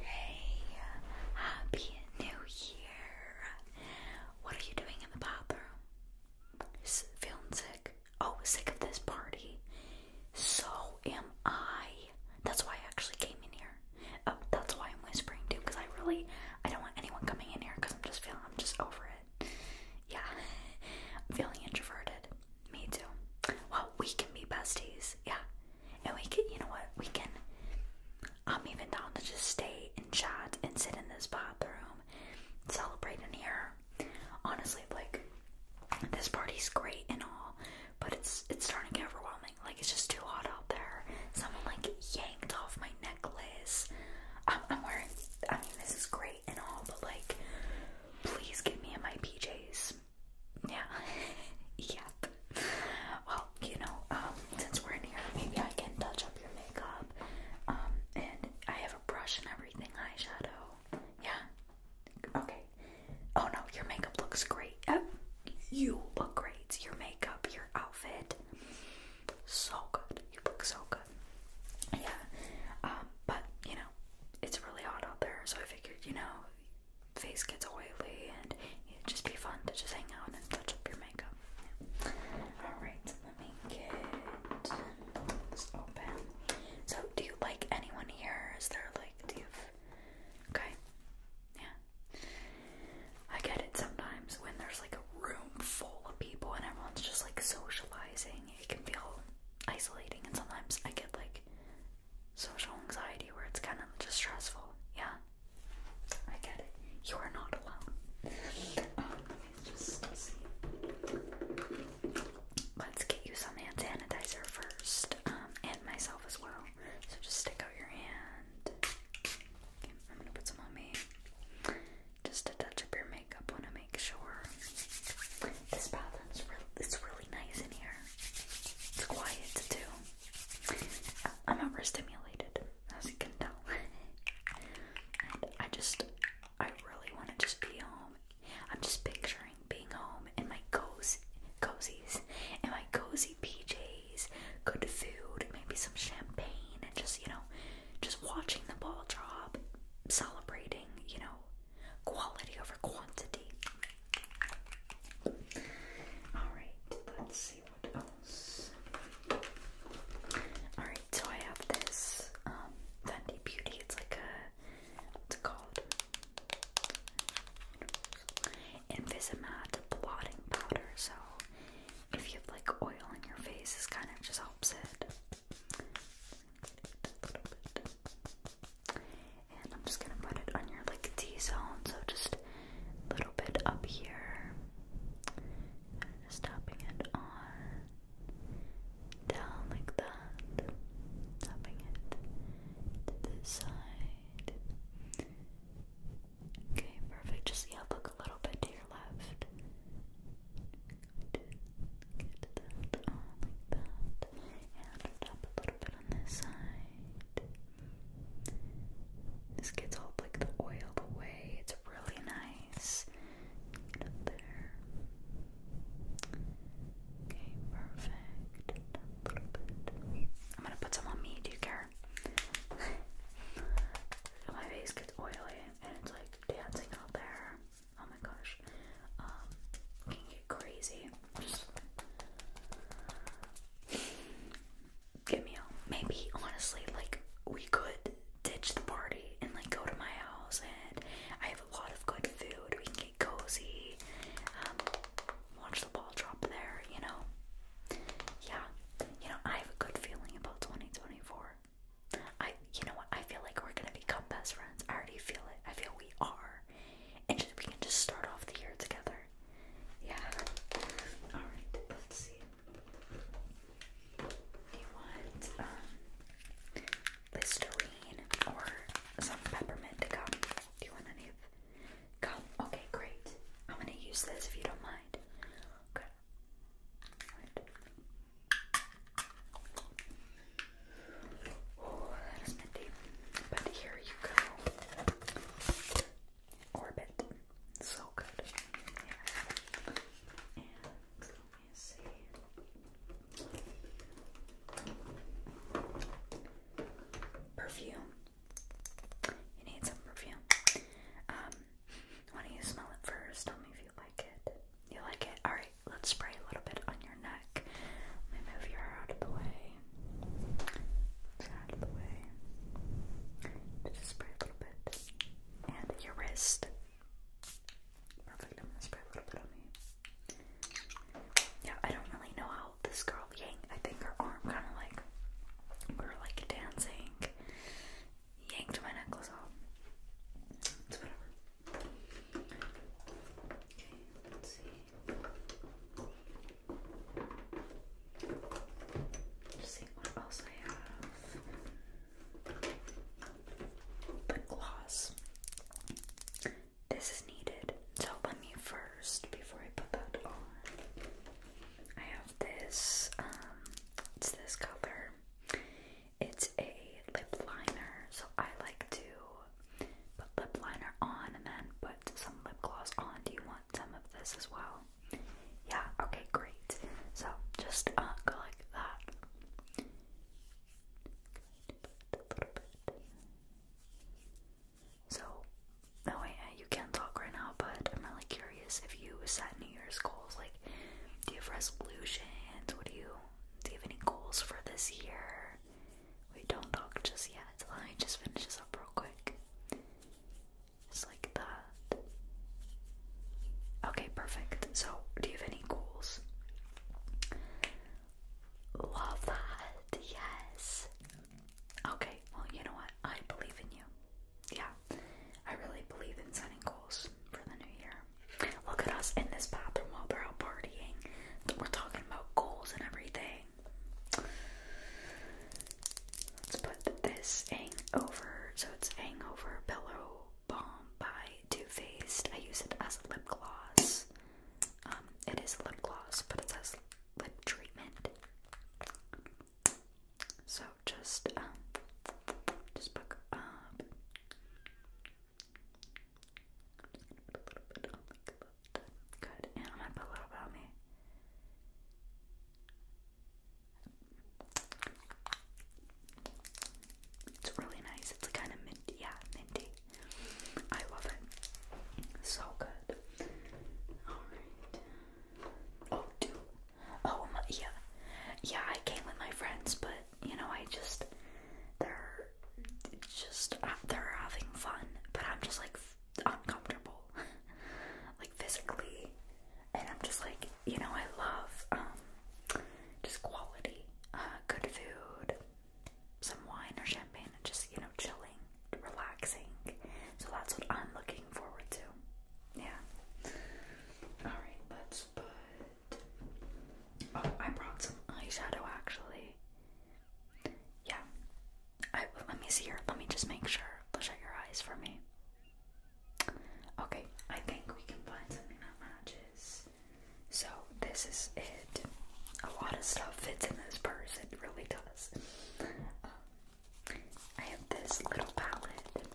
Hey, happy new year. What are you doing in the bathroom? feeling sick? Oh, sick of this party. So am I. That's why I actually came in here. Oh, that's why I'm whispering too, because I really I don't want anyone coming in here because I'm just feeling I'm just over it. Yeah. I'm feeling introverted. Me too. Well, we can be besties. Yeah. And we can, you know what, we can. I'm even down to just stay and chat and sit in this bathroom, celebrate in here. Honestly, like this party's great and all, but it's it's starting to get overwhelming. Like it's just too hot out there. Someone like yanked off my necklace. I'm, wearing. I mean, this is great and all, but like, please get me in my PJs. Yeah. yeah. Well, you know, um, since we're in here, maybe I can touch up your makeup. Um, and I have a brush and everything, eyeshadow. Yeah. Okay. Oh no, your makeup looks great. Oh, you look great. Your makeup, your outfit, so good. You look so good. Yeah. Um, but you know, it's really hot out there, so I figured, you know, face gets oily and it'd just be fun to just hang out and touch up your makeup. Alright, let me get this open. So, do you like anyone here? Is there like, do you Okay. Yeah. I get it sometimes when there's like a room full of people and everyone's just like socializing, it can feel isolating, and sometimes I get like social anxiety where it's kind of just stressful. Yeah. I get it. You are not alone. let um, me just see. Let's get you some hand sanitizer first, um, and myself as well. So just stick out your hand. I'm gonna put some on me. Just to touch up your makeup, wanna make sure. This bathroom's real. It's really nice in here. It's quiet too. I'm overstimulated, as you can tell. I just, I really want to just be home. I'm just picturing being home in my cozy, cozies, in my cozy PJs, good food, maybe some champagne, and just, you know, just watching the ball drop, celebrating, you know, quality over quantity. Alright, let's see what else. Alright, so I have this um Beauty. It's like a what's it called? Invisimat blotting powder. So if you have like oil on your face, this kind of just helps it. And I'm just gonna put it on your like T-zone, so just a little bit up here. just tapping it on. Down like that. Tapping it to this side. Okay, perfect. Just yeah, look a little bit to your left. Get that on like that. And tap a little bit on this side. This gets all like the oil away. It's really nice. Get up there. Okay, perfect. A little bit. I'm gonna put some on me. Do you care? my face gets oily and it's like dancing out there. Oh my gosh. Um, can get crazy get me out. Maybe honestly, like we could ditch the party and like go to my house, and I have a lot of good food. We can get cozy, um, watch the ball drop there. You know, yeah. You know, I have a good feeling about 2024. I, you know what? I feel like we're gonna become best friends. I already feel it. I feel we are, and just, we can just start off the year together. Yeah. Alright, let's see. Do you want um, Listerine or some peppermint gum? Do you want any of gum? Okay, great. I'm gonna use this if you don't mind. Okay. Right. Oh, that is minty. But here you go orbit. So good. And let me see. Perfume. You need some perfume. Um, why don't you smell it first? Tell me if you like it. You like it? Alright, let's spray a little bit on your neck. Let me move your hair out of the way out of the way. Just spray a little bit. And your wrist. Perfect. I'm gonna spray a little bit on me. Yeah, I don't really know how this girl yanked. I think her arm kind of like we like dancing. Yanked my necklace off. let's see. Just seeing what else I have. Lip gloss. This is needed. So let me first, before I put that on, I have this. Um, it's this color. It's a lip liner. So I like to put lip liner on and then put some lip gloss on. Do you want some of this as well? Yeah, okay, great. So just uh, go like that. So, no way, uh, you can't talk right now, but I'm really curious if you set New Year's goals. Like, do you have resolutions? What do you, do you have any goals for this year? We don't talk just yet. Let me just finish this up real quick. It's like that. Okay, perfect. So, do you have any goals? Love that. Yes. Okay, well, you know what? I believe in you. Yeah, I really believe in setting goals for the new year. Look at us in this bathroom while they're out partying. We're talking about goals and everything. Let's put this hang over. So it's Hangover Pillow Balm by Too Faced. I use it as a lip gloss. Um, it is lip gloss, but it says lip treatment. So just um, just put a little bit on my lip. Good, and I'm put a little bit me. It's really nice. It's kind of minty. Yeah, minty. I love it. So good. Alright. Oh, dude. Oh, yeah. Yeah, I came with my friends, but, you know, I just. They're just. Uh, they're having fun, but I'm just like uncomfortable, like physically. And I'm just like, you know, I love um, just quality, uh, good food, some wine or champagne, and just, you know, chilling, relaxing. So that's what I'm looking forward to. Yeah. Alright, let's put. Oh, I brought some eyeshadow actually. Yeah let me see here. Let me just make sure. Shut your eyes for me. Okay, I think we can find something that matches. So this is it. A lot of stuff fits in this purse. It really does. Um, I have this little palette.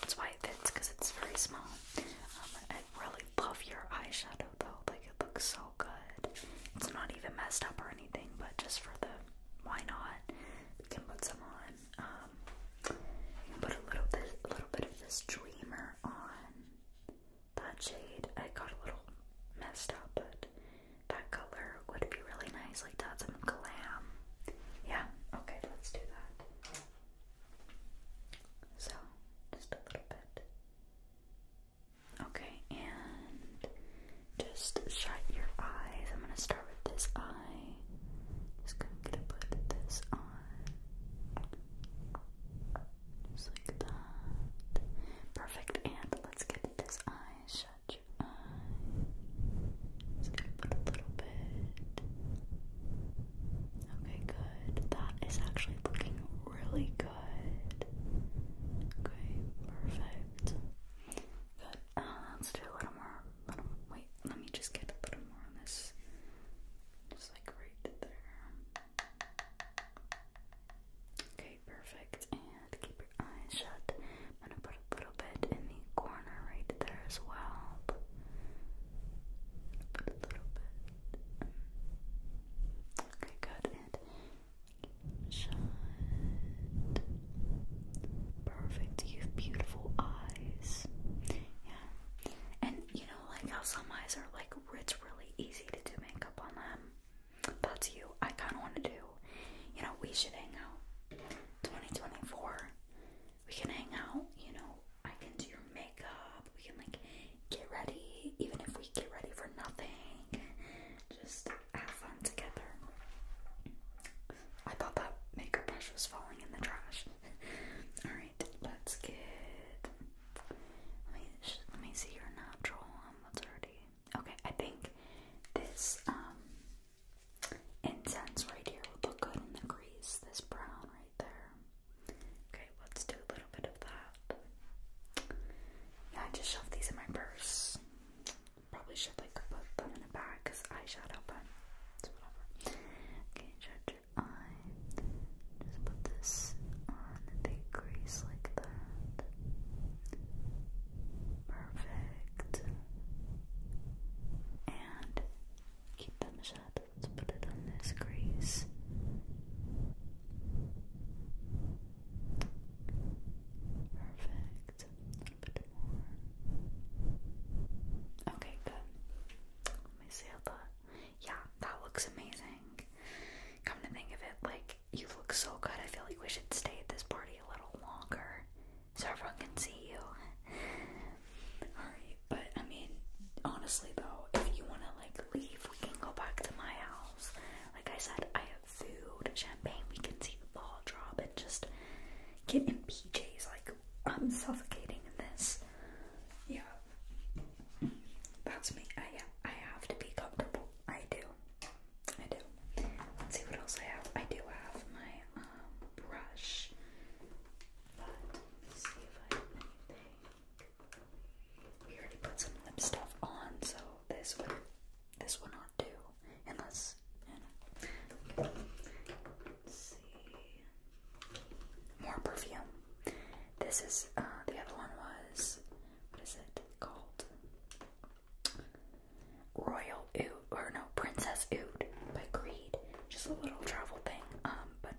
That's why it fits because it's very small. Um, I really love your eyeshadow though. Like it looks so good. It's not even messed up or anything, but just for the why not? We can put some on. Um, put a little bit, a little bit of this Dreamer on. That shade, I got a little messed up, but that color would be really nice, like to some glam. Yeah, okay, let's do that. So, just a little bit. Okay, and just shut your eyes. I'm going to start with this eye. Just going to put this on. Just like that. Perfect. And let's get this eye shut. Just gonna put a little bit. Okay, good. That is actually looking really good. Okay, perfect. But uh, let's do a little more. wait, let me just get a little more on this. Just like right there. Okay, perfect. And keep your eyes shut. I'm gonna put a little bit in the corner right there as well. Put a little bit. Okay, good. And Shine, Perfect. You have beautiful eyes. Yeah. And you know, like how some eyes are like, it's really easy to do makeup on them. That's you. I kind of want to do. You know, we should hang out. 2024. We can hang out. You know, I can do your makeup. We can like get ready, even if we get ready for nothing. Just have fun together. I thought that maker brush was falling in the trash. Alright, let's get. Let me, let me see your natural one. Um, what's already. Okay, I think this um, incense right here would look good in the grease. This brown right there. Okay, let's do a little bit of that. Yeah, I just shoved these in my purse probably should like put them in a bag because eyeshadow, but it's whatever. Okay, judge your eye. Just put this on the crease like that. Perfect. And keep them shut. Let's put it on this crease. Perfect. Okay, good. Let me see how that. Yeah, that looks amazing. Come to think of it, like you look so good. I feel like we should stay at this party a little longer so everyone can see you. Alright, but I mean, honestly though, if you want to like leave, we can go back to my house. Like I said, I have food, champagne. We can see the ball drop and just get in PJs. Like, I'm suffocating in this. Yeah. That's me. I, I have to be comfortable. I do. I do. Let's see what else I have. I do have my um, brush. But see if I have anything. We already put some lip stuff on, so this one, this one on do unless More perfume. This is uh, the other one was what is it called? Royal Oud or no Princess Oud by Creed. Just a little travel thing. Um but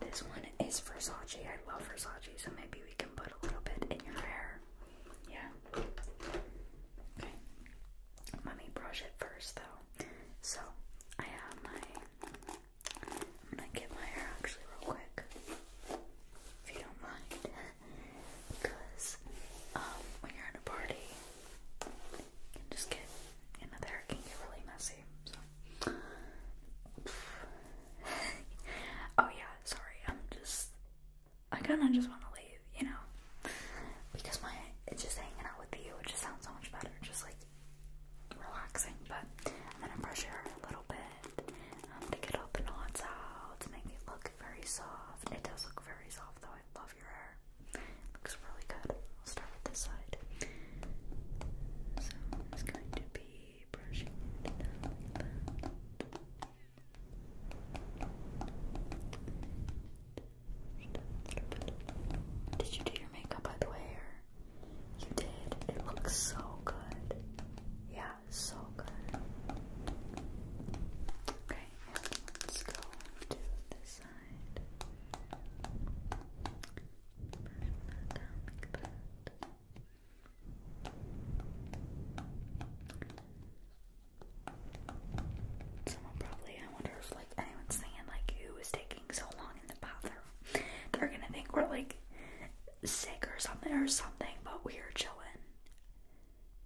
This one is Versace. I love Versace, so maybe we can put a little bit in your hair. Yeah. Let me brush it first though. So I have my I'm get my hair actually real quick. If you don't mind. because um when you're at a party you can just get you hair can get really messy. So oh yeah, sorry, I'm just I kind of just want to leave, you know, because my it's just hanging out with you. It just sounds so much better, just like relaxing. But I'm gonna pressure her a little bit um, to get all the knots out to make it look very soft. It does look very soft, though. I love your hair. looks really good. I'll start with this side. So i going to be brushing did you do your makeup by the way? you did. It looks so good. Yeah, so good. Okay, let's go to this side. Brush down like that. Someone probably, I wonder if like anyone's saying like who is taking so long in the bathroom. They're gonna think we're like sick or something or something, but we are chilling.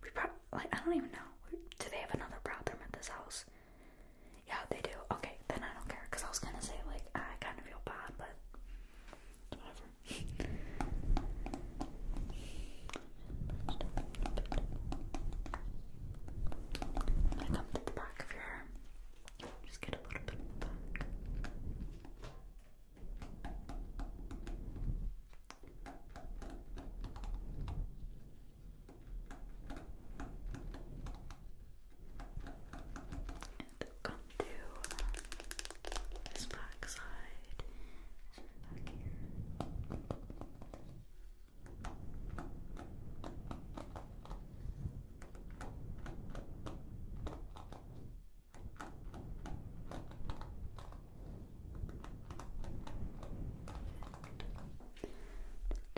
We probably like I don't even know. Do they have another bathroom at this house? Yeah, they do. Okay, then I don't care because I was gonna say like I kind of feel bad, but I come to the back of your hair. Just get a little bit And come to uh, this back side. Back here.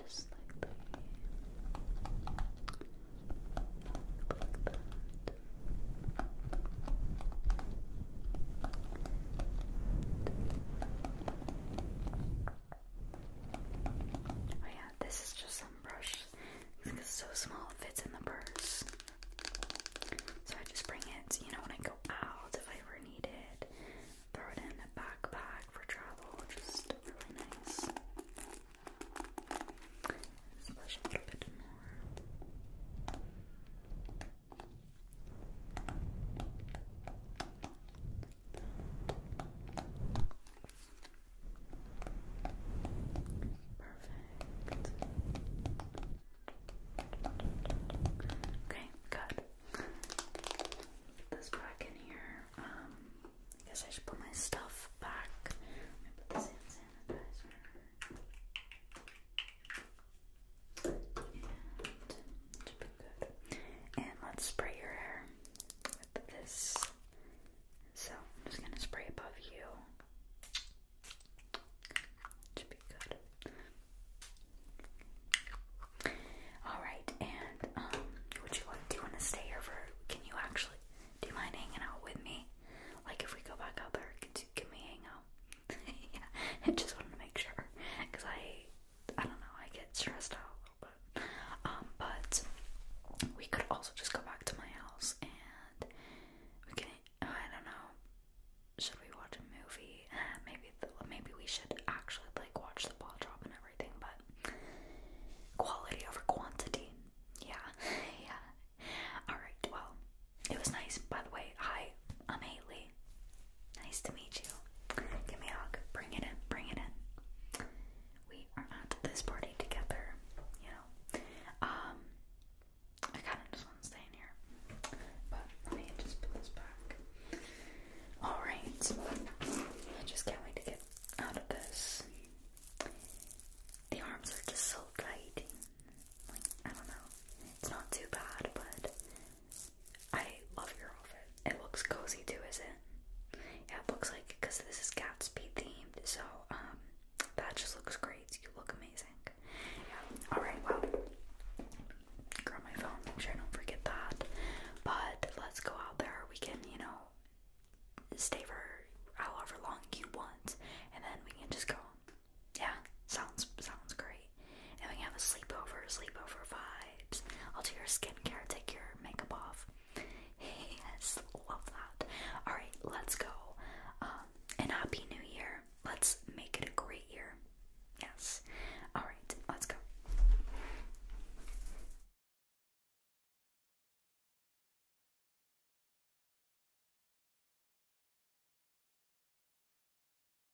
Just like that. Like that. Oh yeah, this is just some brush. It's so small fits in the purse. So I just bring it, you know, when I go out if I ever need it. Throw it in a backpack for travel, just really nice. Splash a little bit more. Perfect. Okay, good. Put this back in here. Um, I guess I should put my stuff back. put this in sanitizer. And let's spray your hair with this. So I'm just gonna spray above you. should be good. Alright, and um would you do you wanna stay here for can you actually do you mind hanging out with me? Like if we go back out there, can we hang out? yeah, I just wanted to make sure because I, I don't know, I get stressed out a little bit. Um, but we could also just go back to my house and we can. I don't know. Should we watch a movie? Eh, maybe the, maybe we should actually like watch the ball drop and everything, but quality over quantity. Yeah, yeah. All right. Well, it was nice. By the way, hi, I'm Haley. Nice to meet you. Give me a hug. Bring it in. Bring it in. We are at this party together, you know. Um, I kind of just want to stay in here. But let me just put this back. Alright. I just can't wait to get out of this. The arms are just so tight. Like, I don't know. It's not too bad, but I love your outfit. It looks cozy too, is not it? Yeah, it looks like because this is Gatsby themed, so um, that just looks great. You look amazing. Yeah. All right. Well, grab my phone. Make sure I don't forget that. But let's go out there. We can, you know, stay for however long you want, and then we can just go. Yeah, sounds sounds great and we have a sleepover, sleepover vibes. I'll do your skincare, take your makeup off. Yes, love that. Alright, let's go. Um, and happy new year. Let's make it a great year. Yes. Alright, let's go.